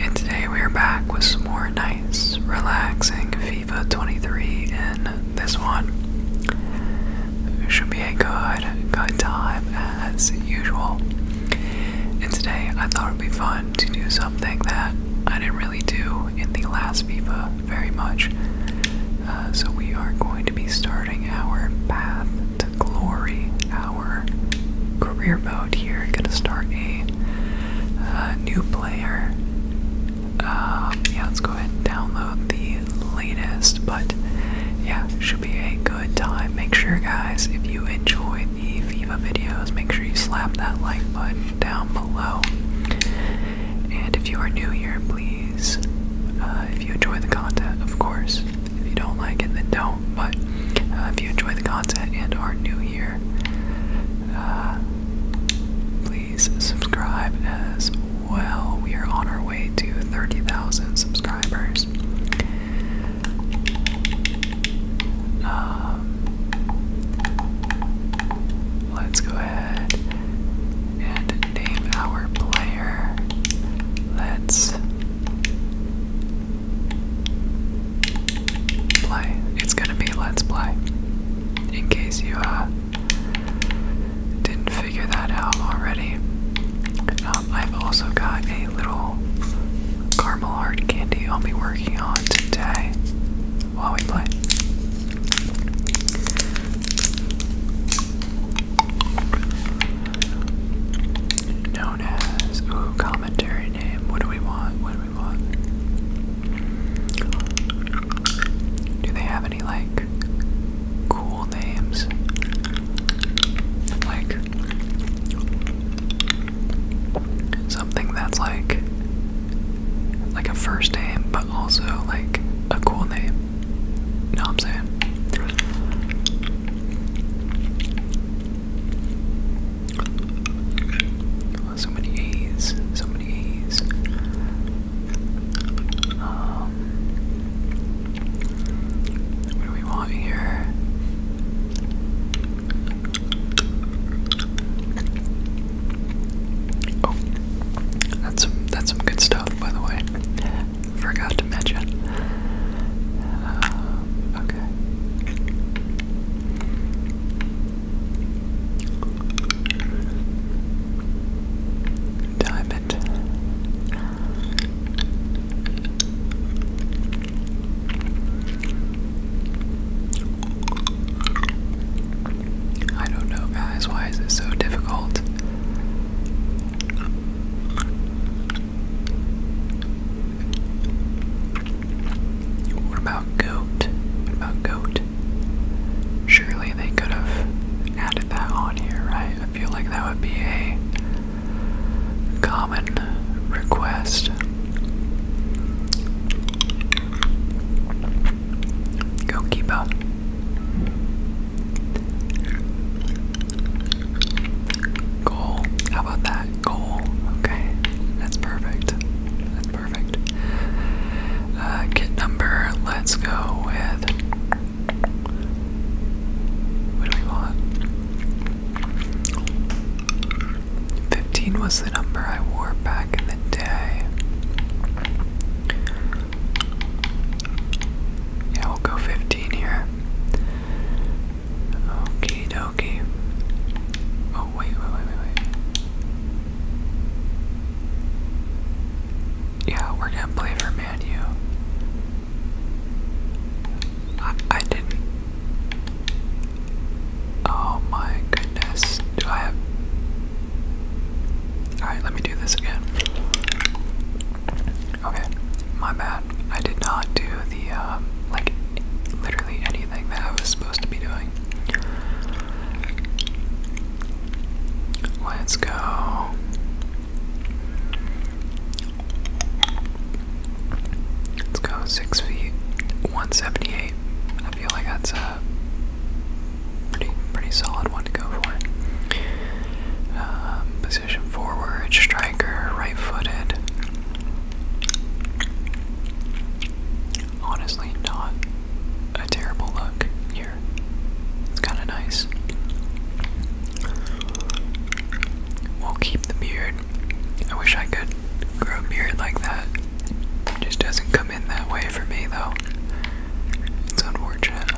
And today we are back with some more nice, relaxing FIFA 23 in this one. Should be a good, good time as usual. And today I thought it would be fun to do something that I didn't really do in the last FIFA very much. Uh, so we are going to be starting our path glory our career mode here. Gonna start a uh, new player. Um, yeah, let's go ahead and download the latest, but yeah, should be a good time. Make sure, guys, if you enjoy the FIFA videos, make sure you slap that like button down below. And if you are new here, please, uh, if you enjoy the content, of course, if you don't like it, then don't. But uh, if you enjoy the content and are new here, uh, please subscribe as well. We are on our way to 30,000 subscribers. Um, let's go ahead and name our player. Let's play. It's gonna be Let's Play. In case you uh, didn't figure that out already. Um, I've also got a little caramel hard candy I'll be working on today while we play. No as. commentary name. What do we want? What do we want? Do they have any like cool names? Like something that's like like a first name but also like a cool name. You know what I'm saying? So many A's, so many A's. Um, what do we want here? Oh, that's that's some good stuff, by the way. I forgot to mention. Uh, okay. Diamond. I don't know, guys. Why is it so difficult? What about goat? What about goat? Surely they could have added that on here, right? I feel like that would be a common request. Goalkeeper. Goal. How about that? Goal. Okay. That's perfect. That's perfect. kit uh, number, let's go with. What do we want? 15 was the number I wore back in the day. Yeah, we'll go 15 here. Okie dokie. Oh, wait, wait, wait, wait, wait. Yeah, we're gonna play for Man U. I, I didn't. Oh my goodness. Do I have. Alright, let me do this again. Okay, my bad. I did not do the, um, like, literally anything that I was supposed to be doing. Let's go. Let's go six feet, 178. I feel like that's a pretty, pretty solid one to go for. Um, Position forward, striker, right footed. Honestly, not a terrible look here. It's kind of nice. We'll keep the beard. I wish I could grow a beard like that. just doesn't come in that way for me, though. It's unfortunate.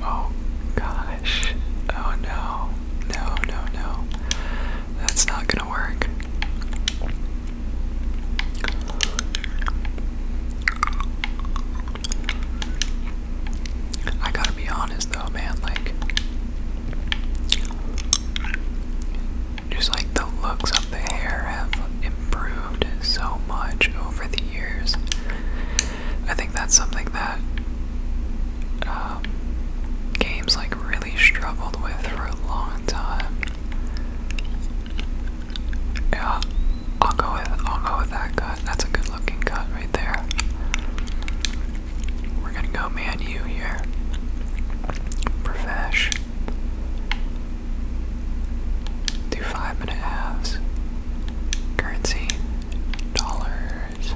Oh gosh. Oh no. No, no, no. That's not gonna work. I gotta be honest though, man, like just like the looks of the hair have improved so much over the years. I think that's something that um, games like really struggled with for a long time. Yeah, I'll go with I'll go with that cut. That's a good looking cut right there. We're gonna go man here. Profesh. Do five minute halves. Currency, dollars.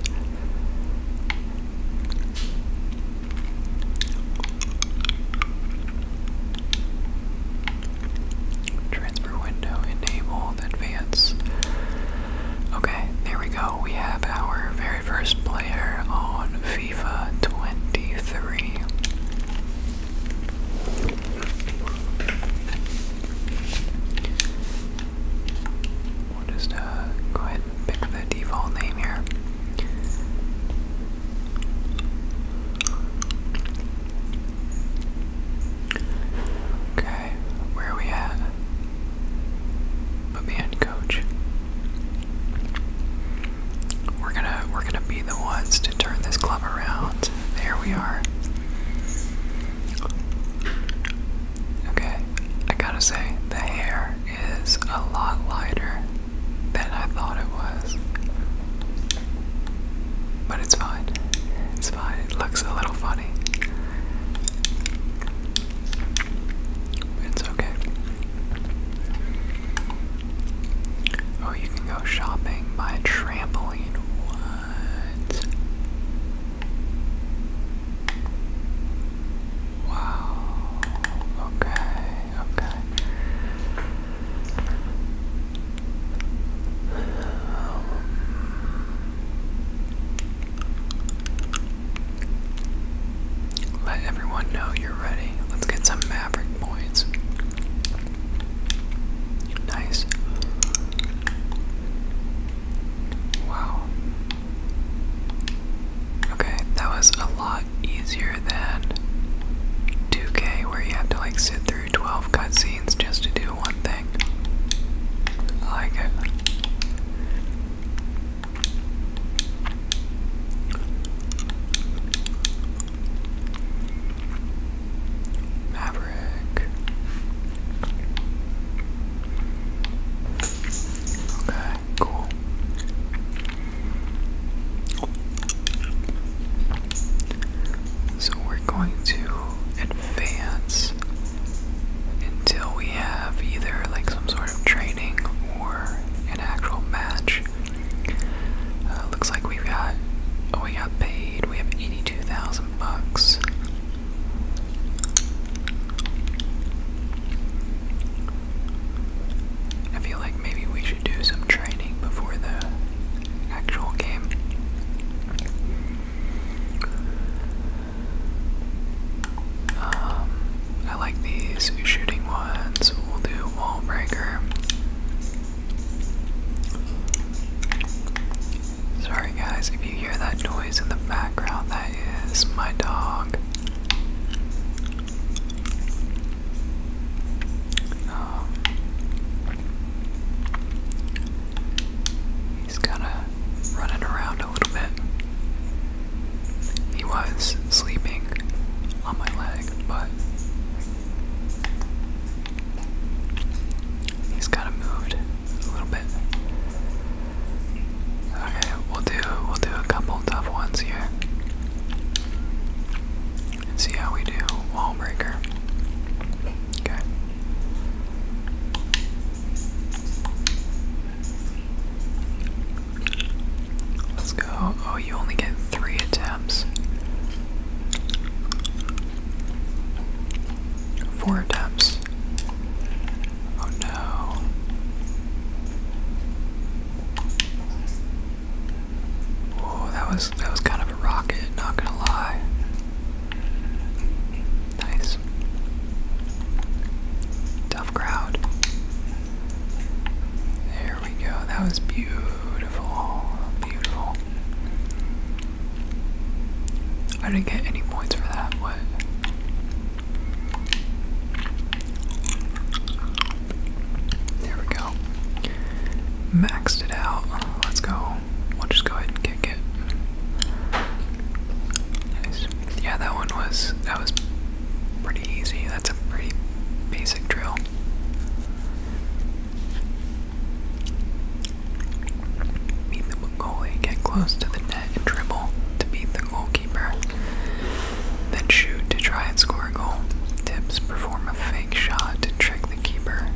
Transfer window, enable, advance. Okay, there we go. We have our very first player on FIFA 23. We'll just uh, go ahead and pick the default name here. Okay, where are we at? Put me coach. We're gonna we're gonna be the ones to turn this club around. There we are. Okay, I gotta say, the hair is a lot lighter than I thought it was. But it's fine. It's fine. It looks a little funny. It's okay. Oh, you can go shopping, by a trampoline. What? Wow. Okay, okay. Um, let everyone know you're ready. Let's get some Maverick points. Nice. Wow. Okay, that was a lot easier than 2K, where you have to like sit through 12 cutscenes just to do one thing. I like it. Maverick. Okay, cool. So we're going to advance until we have either like some sort of training or an actual match. Uh, looks like we've got. Oh, we got paid. We have eighty-two thousand bucks. I feel like maybe we should do some training before the actual game. Um, I like these shooting ones. We'll do wall breaker. Sorry, guys, if you hear that noise in the background, that is my dog. Um, he's kind of running around a little bit. He was sleeping on my leg, but He's kind of moved a little bit. Okay, we'll do we'll do a couple tough ones here. see how we do. Wall breaker. Okay. Let's go. Oh, you only get three attempts. Four attempts. Oh no. Oh, that was that was kind of a rocket, not gonna lie. Nice. Tough crowd. There there we go. That was beautiful. Beautiful. I didn't get any points for that. What? There we go. Maxed it out. Let's go. We'll just go ahead and kick it. Yeah, that one was that was pretty easy. That's a pretty basic drill. Beat the goalie, get close to the net and dribble to beat the goalkeeper. Then shoot to try and score a goal. Tips perform a fake shot to trick the keeper.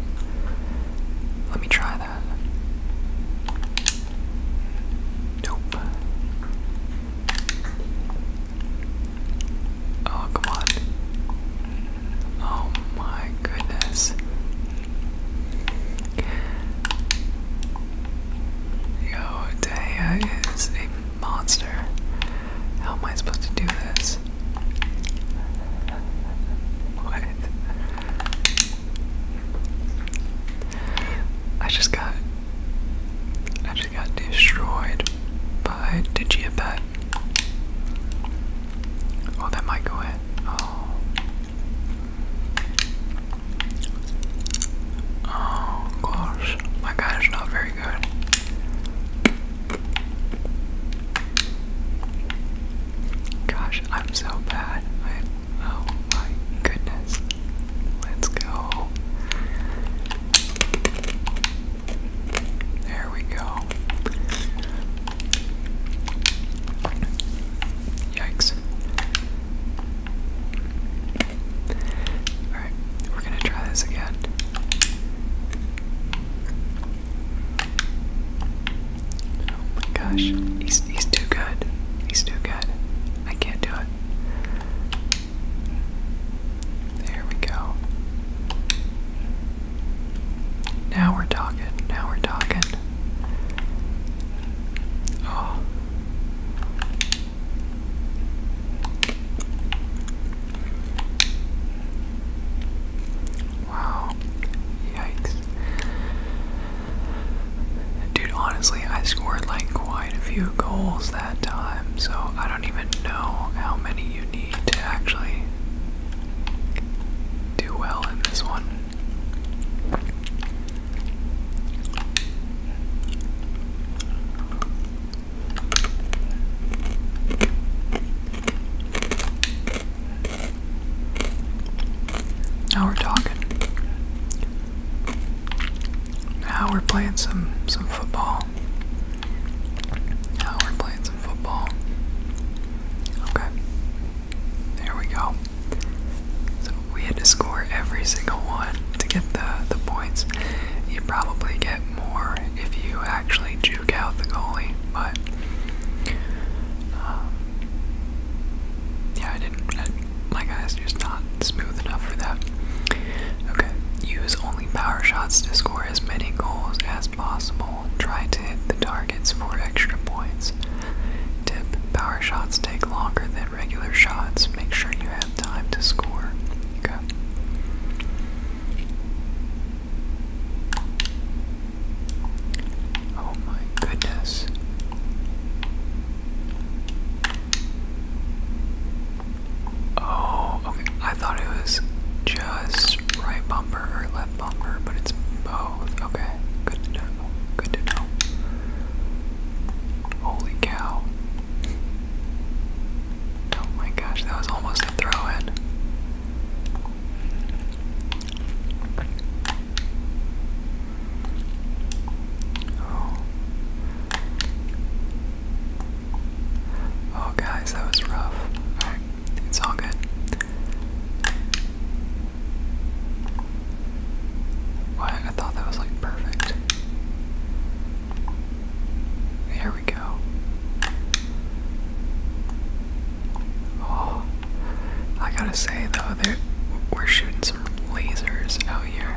Let me try that. Nope. Oh, come on. Oh my goodness. Yo, Taya is a monster. How am I supposed to do this? What? I just got I just got destroyed by Digiabat. Oh, that might go in. Oh. Oh gosh, my guy is not very good. Gosh, I'm so bad. oh my goodness. Let's go. There we go. Yikes. Alright, we're gonna try this again. Oh my gosh, he's, he's too good. He's too good. I can't do it. There we go. Now we're talking. Now we're talking. Oh. Wow. Yikes. Dude, honestly, I scored like quite a few goals that time, so I don't even know how many you need to actually do well in this one. Now we're talking. Now we're playing some some football. Now we're playing some football. Okay. There we go. So we had to score every single one to get the the points. You probably get more if you actually juke out the goalie, but um, yeah, I didn't. my guy's just not smooth enough for that. Okay, use only power shots to score as many goals as possible. Try to hit the targets for extra points. Tip Power shots take longer than regular shots. Make sure you have time to score. Okay. Oh my goodness. Oh, okay. I thought it was just right bumper or left bumper, but it's both. Okay, good to know. Good to know. Holy cow. Oh my gosh, that was almost a throw in. Oh. Oh, guys, that was rough. Alright, it's all good. What? I thought that was like perfect. There we go. Oh, I gotta say though, we're shooting some lasers out here.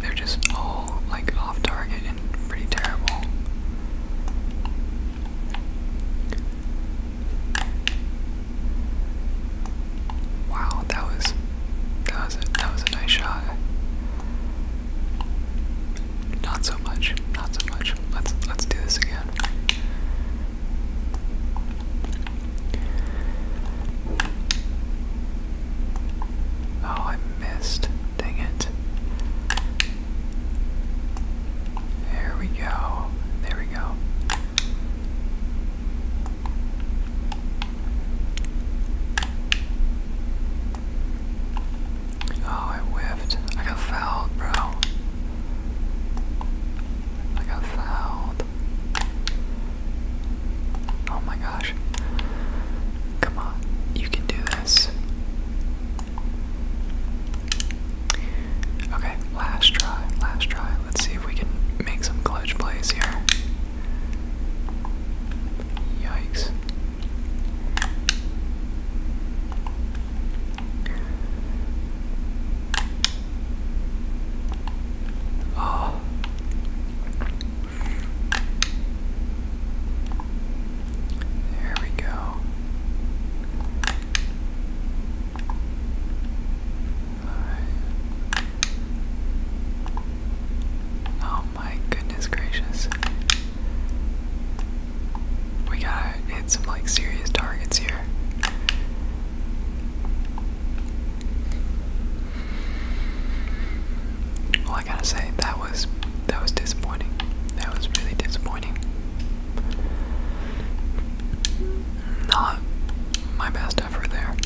They're just all like off target and pretty terrible. Wow, that was that was a, that was a nice shot. Not so much, not so much. Let's let's do this again. Oh, I missed. Dang it. There we go. There we go. Oh, I whiffed. I got fouled, bro. I got fouled. Oh my gosh. Come on, you can do this. Okay, last try, last try. Let's see if we can make some clutch plays here. Yikes. Oh. There we go. Oh my goodness gracious. We gotta hit some like serious targets here. Well, I gotta say that was that was disappointing. That was really disappointing. Not my best effort there.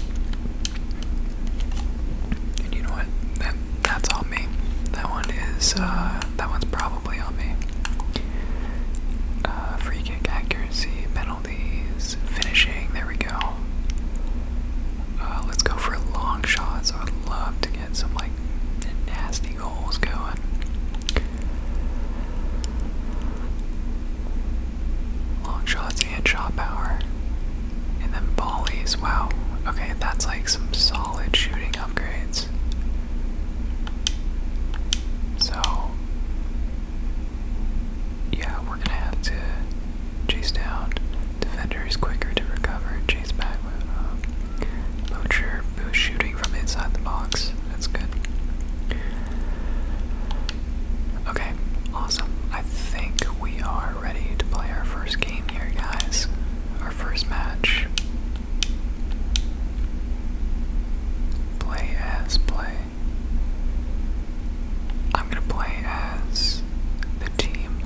And you know what? That that's on me. That one is uh, that one's probably on me. Uh, free kick accuracy, penalty penalties, finishing. There we go. Uh, let's go for long shots. I would love to get some like nasty goals going. Long shots and shot power. And then volleys. Wow. Okay, that's like some solid shooting upgrades. So, yeah, we're gonna have to chase down defenders quicker to recover and chase back with um, who's shooting from inside the box. That's good. Okay, awesome. I think we are ready to play our first game here, guys. Our first match. Play as play. I'm gonna play as the team.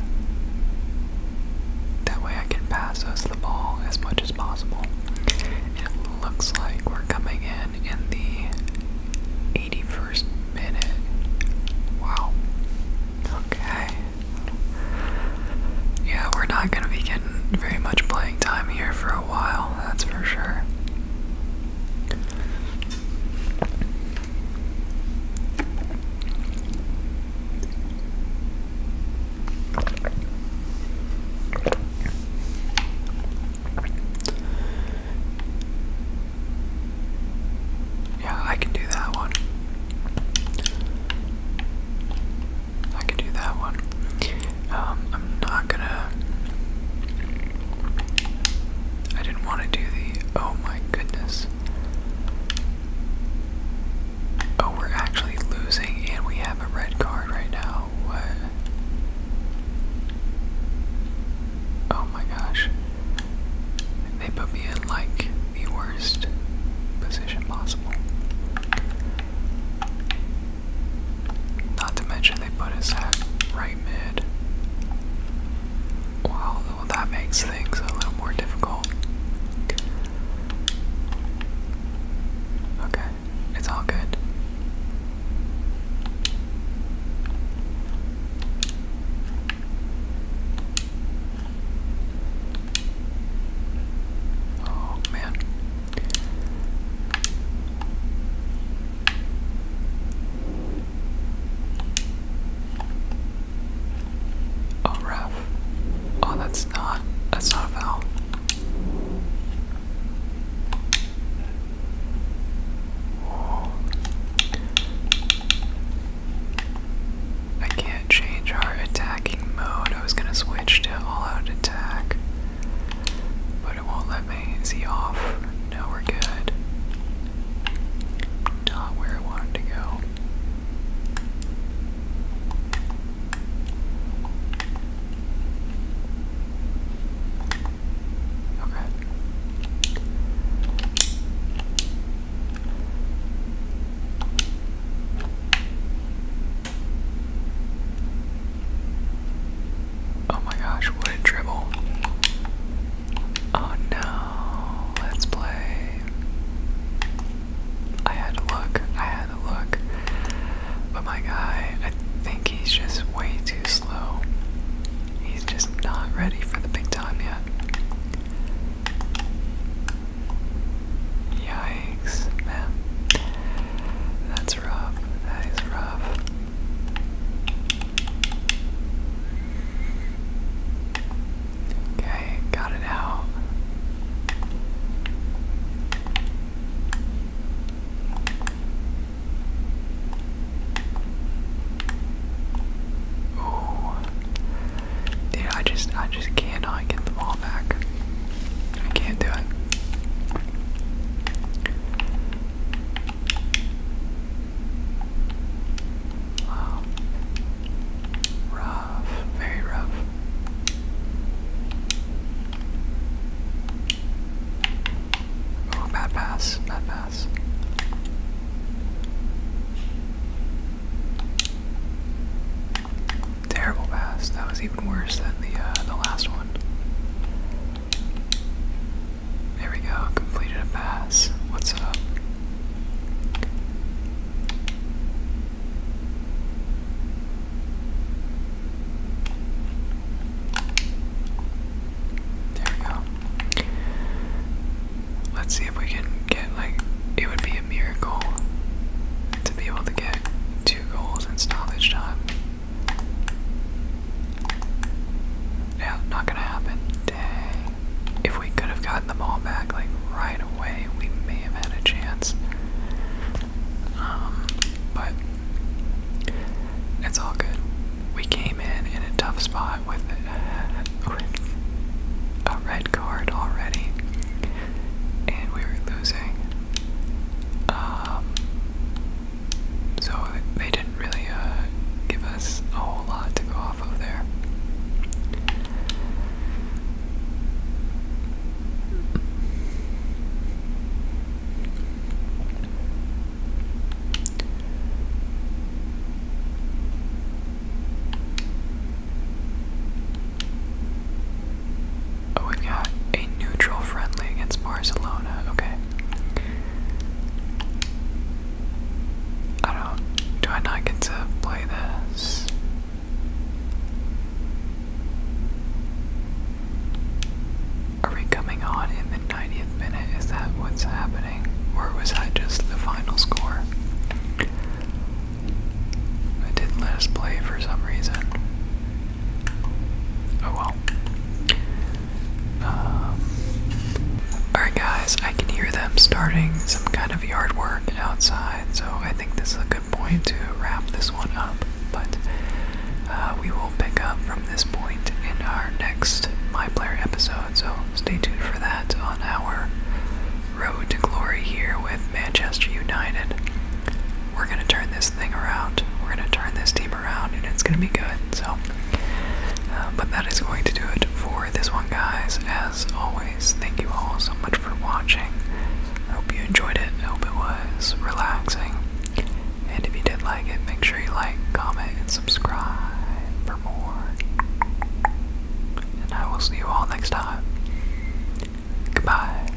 That way I can pass us the ball as much as possible. It looks like we're coming in in the 81st minute. Wow. Okay. Yeah, we're not gonna be getting very much playing time here for a while, that's for sure. Yeah, I can do that one. I can do that one. Um, I'm not gonna. I didn't want to do the. Oh my goodness. Oh, we're actually losing, and we have a red card right now. What? Oh my gosh. They put me in like the worst position possible. Not to mention they put us at right mid. Wow, that makes things a little more difficult. Okay, it's all good. Oh man. Oh ref. Oh that's not that's not a foul. I can't change our attacking mode. I was gonna switch to all out attack it won't let me see off. Now we're good. Not where I wanted to go. Okay. Oh my gosh, what a dribble. Oh no, let's play. I had to look, I had to look. But my guy, I think he's just way too slow. He's just not ready for the big time yet. Yikes, man. That's rough. That is rough. Okay, got it out. Ooh. Dude, I just I just cannot get the ball back. I can't do it. Wow. Rough, very rough. Oh, bad pass, bad pass. Terrible pass. That was even worse than the uh, the last one. There we go, completed a pass. What's up? There we go. Let's see if we can get, like, it would be a miracle to be able to get two goals in stoppage time. Yeah, not gonna happen. Dang. If we could have gotten the ball back like right away, we may have had a chance. Um, but it's all good. We came in in a tough spot with, a red card already, and we were losing. Um, so they didn't really uh, give us a whole lot to go off of there. Oh, we've got a neutral friendly against Barcelona. Okay. I don't. Do I not get to play this? Are we coming on in the 90th minute? Is that what's happening? Or was that just the final score? It didn't let play for some reason. Oh well. Um, Alright, guys, I can hear them starting some kind of yard work outside, so I think this is a good point to wrap this one up. But uh, we will pick up from this point in our next My episode, so stay tuned for that on our road to glory here with Manchester United. We're going to turn this we're going to turn this team around, and it's going to be good. So, uh, but that is going to do it for this one, guys. As always, thank you all so much for watching. I hope you enjoyed it. I hope it was relaxing. And if you did like it, make sure you like, comment, and subscribe for more. And I will see you all next time. Goodbye.